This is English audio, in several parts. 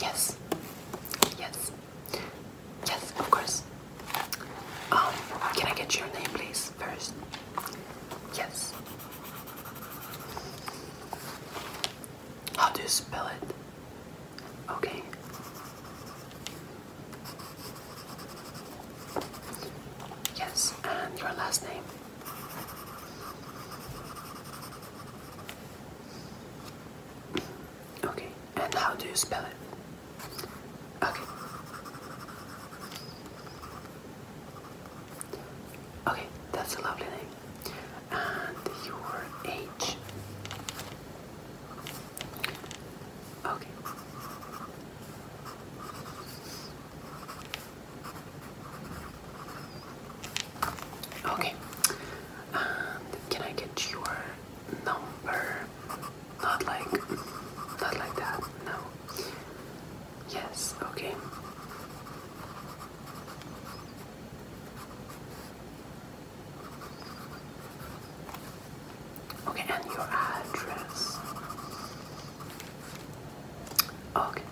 Yes. Yes. Yes, of course. Um, can I get your name, please, first? Yes. How do you spell it? Okay. Yes, and your last name. Okay, and how do you spell it? Okay. Okay, that's a lovely name. And your age? Okay. Okay. Um, can I get your number? Not like not like that, no. Yes, okay. Okay, and your address. Okay.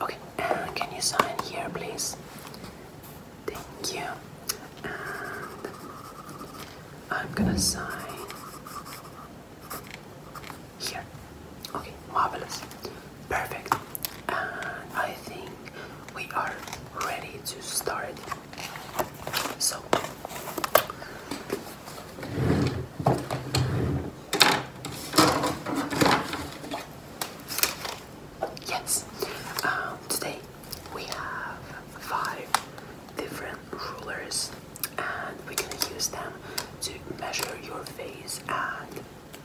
Okay, uh, can you sign here, please? Thank you. I'm gonna sign here. Okay, marvelous. Perfect. I think we are ready to start. So Yes, um, today we have five different rulers, and we're gonna use them to measure your face and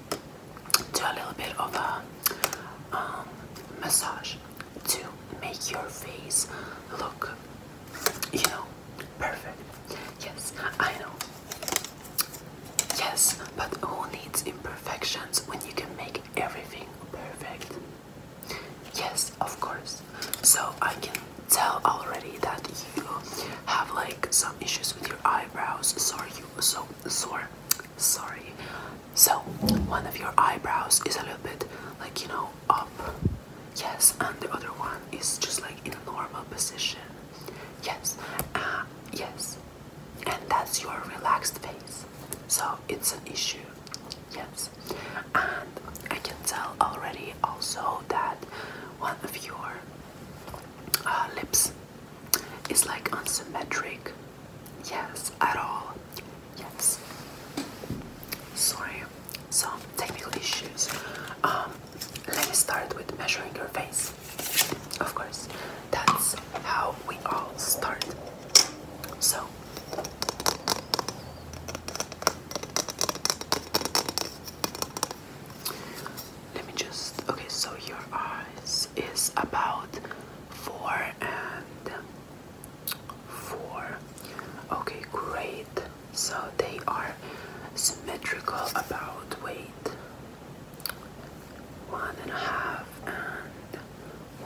do a little bit of a um, massage to make your face look, you know, perfect. Yes, I know. Yes, but who needs imperfections when you can make everything perfect? Yes, of course. So I can tell already that you have like some issues with your eyebrows. Sorry, you so sore. Sorry. So one of your eyebrows is a little bit like you know up. Yes, and the other one is just like in normal position. Yes, uh, yes, and that's your relaxed face. So it's an issue. Yes, and I can tell already also that one of your uh, lips is like unsymmetric. Yes, at all. Yes. Sorry, some technical issues. Um, let me start with measuring your face. Of course, that's how we all start. So, let me just. Okay, so your eyes is about four and four. Okay, great. So they are symmetrical about weight. One and a half and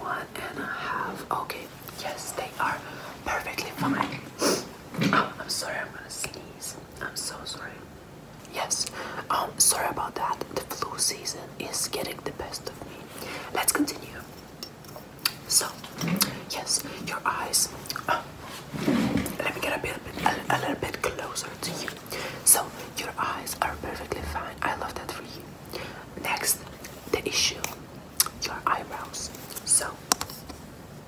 one and a half. Okay, yes, they are perfectly fine. Oh, I'm sorry, I'm gonna sneeze. I'm so sorry. Yes, um, sorry about that. The flu season is getting the best of me. Let's continue. So, yes, your eyes. Uh, let me get a bit, a little bit closer to you. So, your eyes are perfectly fine. I love that for you. Next, the issue: your eyebrows. So,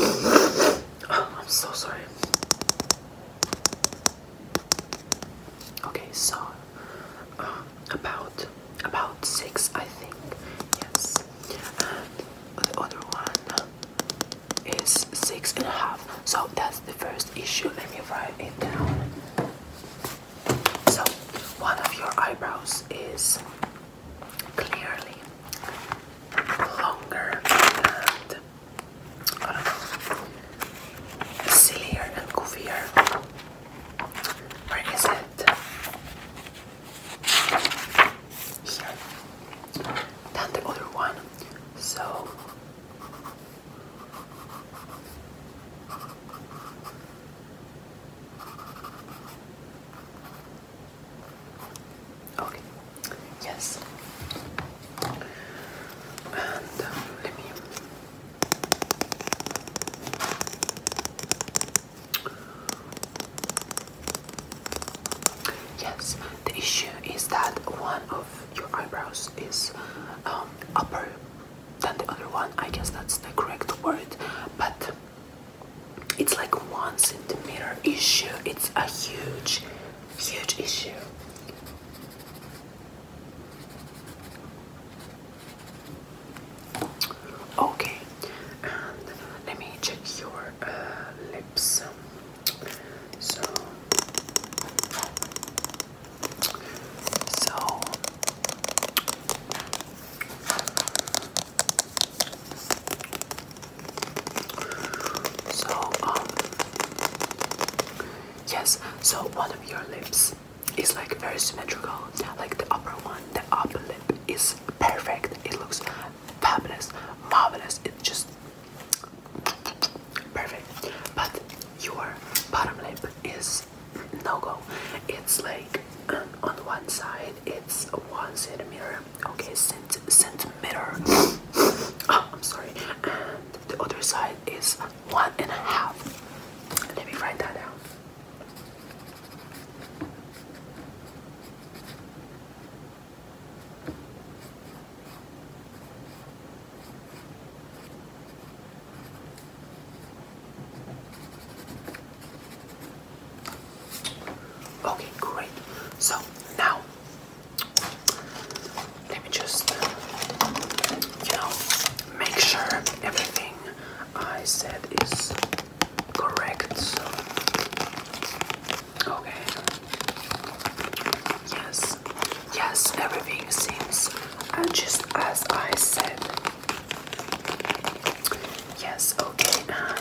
oh, I'm so sorry. Okay, so um, about about six, I think. Yes, and the other one is six and a half. So that's first issue. Let me write it down. So, one of your eyebrows is clearly longer and sillier and goofier. Where is it? Here. Than the other one. So Okay. Yes. And um, let me Yes, the issue is that one of your eyebrows is um, upper than the other one. I guess that's the correct word, but it's like one centimeter issue. It's a huge, huge issue. Okay, let me check your uh, lips. So, so so um yes so one of your lips is like very symmetrical like the upper one the upper lip is perfect it looks fabulous marvelous it just Perfect. But your bottom lip is no go. It's like um, on one side it's one centimeter. Okay, cent centimeter. oh, I'm sorry. And the other side is one and a half. Let me write that down. Okay, great. So now let me just, you know, make sure everything I said is correct. Okay. Yes. Yes, everything seems uh, just as I said. Yes, okay, and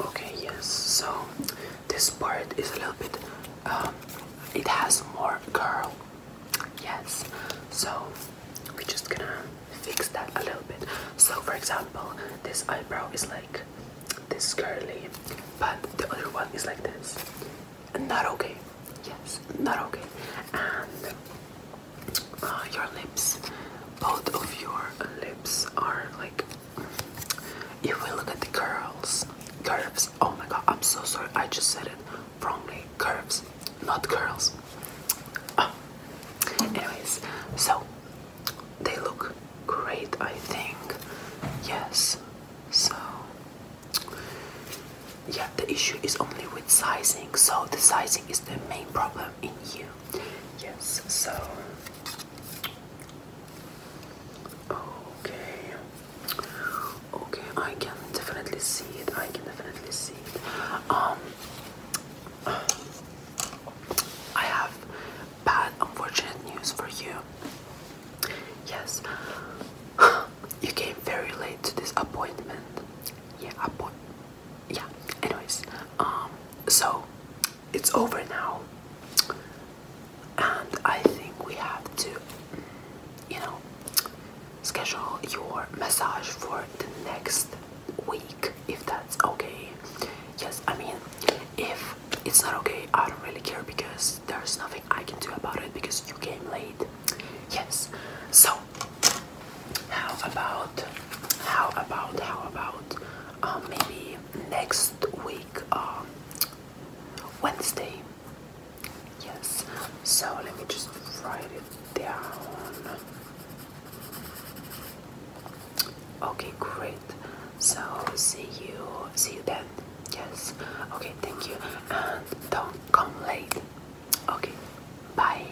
Okay, yes, so this part is a little bit um, it has more curl yes so we're just gonna fix that a little bit so for example this eyebrow is like this curly but the other one is like this not okay yes not okay and uh, your lips both of your lips are like if we look at the curls, curves, oh my god, I'm so sorry, I just said it wrongly. Curves, not curls. Oh. Anyways, so they look great, I think. Yes, so yeah, the issue is only with sizing, so the sizing is the main problem in you. Yes, so Okay. Okay, I can definitely see it. I can definitely see it. Um I have bad unfortunate news for you. Yes. You came very late to this appointment. Yeah, appointment. Yeah. Anyways, um so it's over now and i think we have to you know schedule your massage for the next week if that's okay yes i mean if it's not okay i don't really care because there's nothing i can do about it because you came late yes so how about how about how about um, maybe next week um, Wednesday yes so let me just write it down okay great so see you see you then yes okay thank you and don't come late okay bye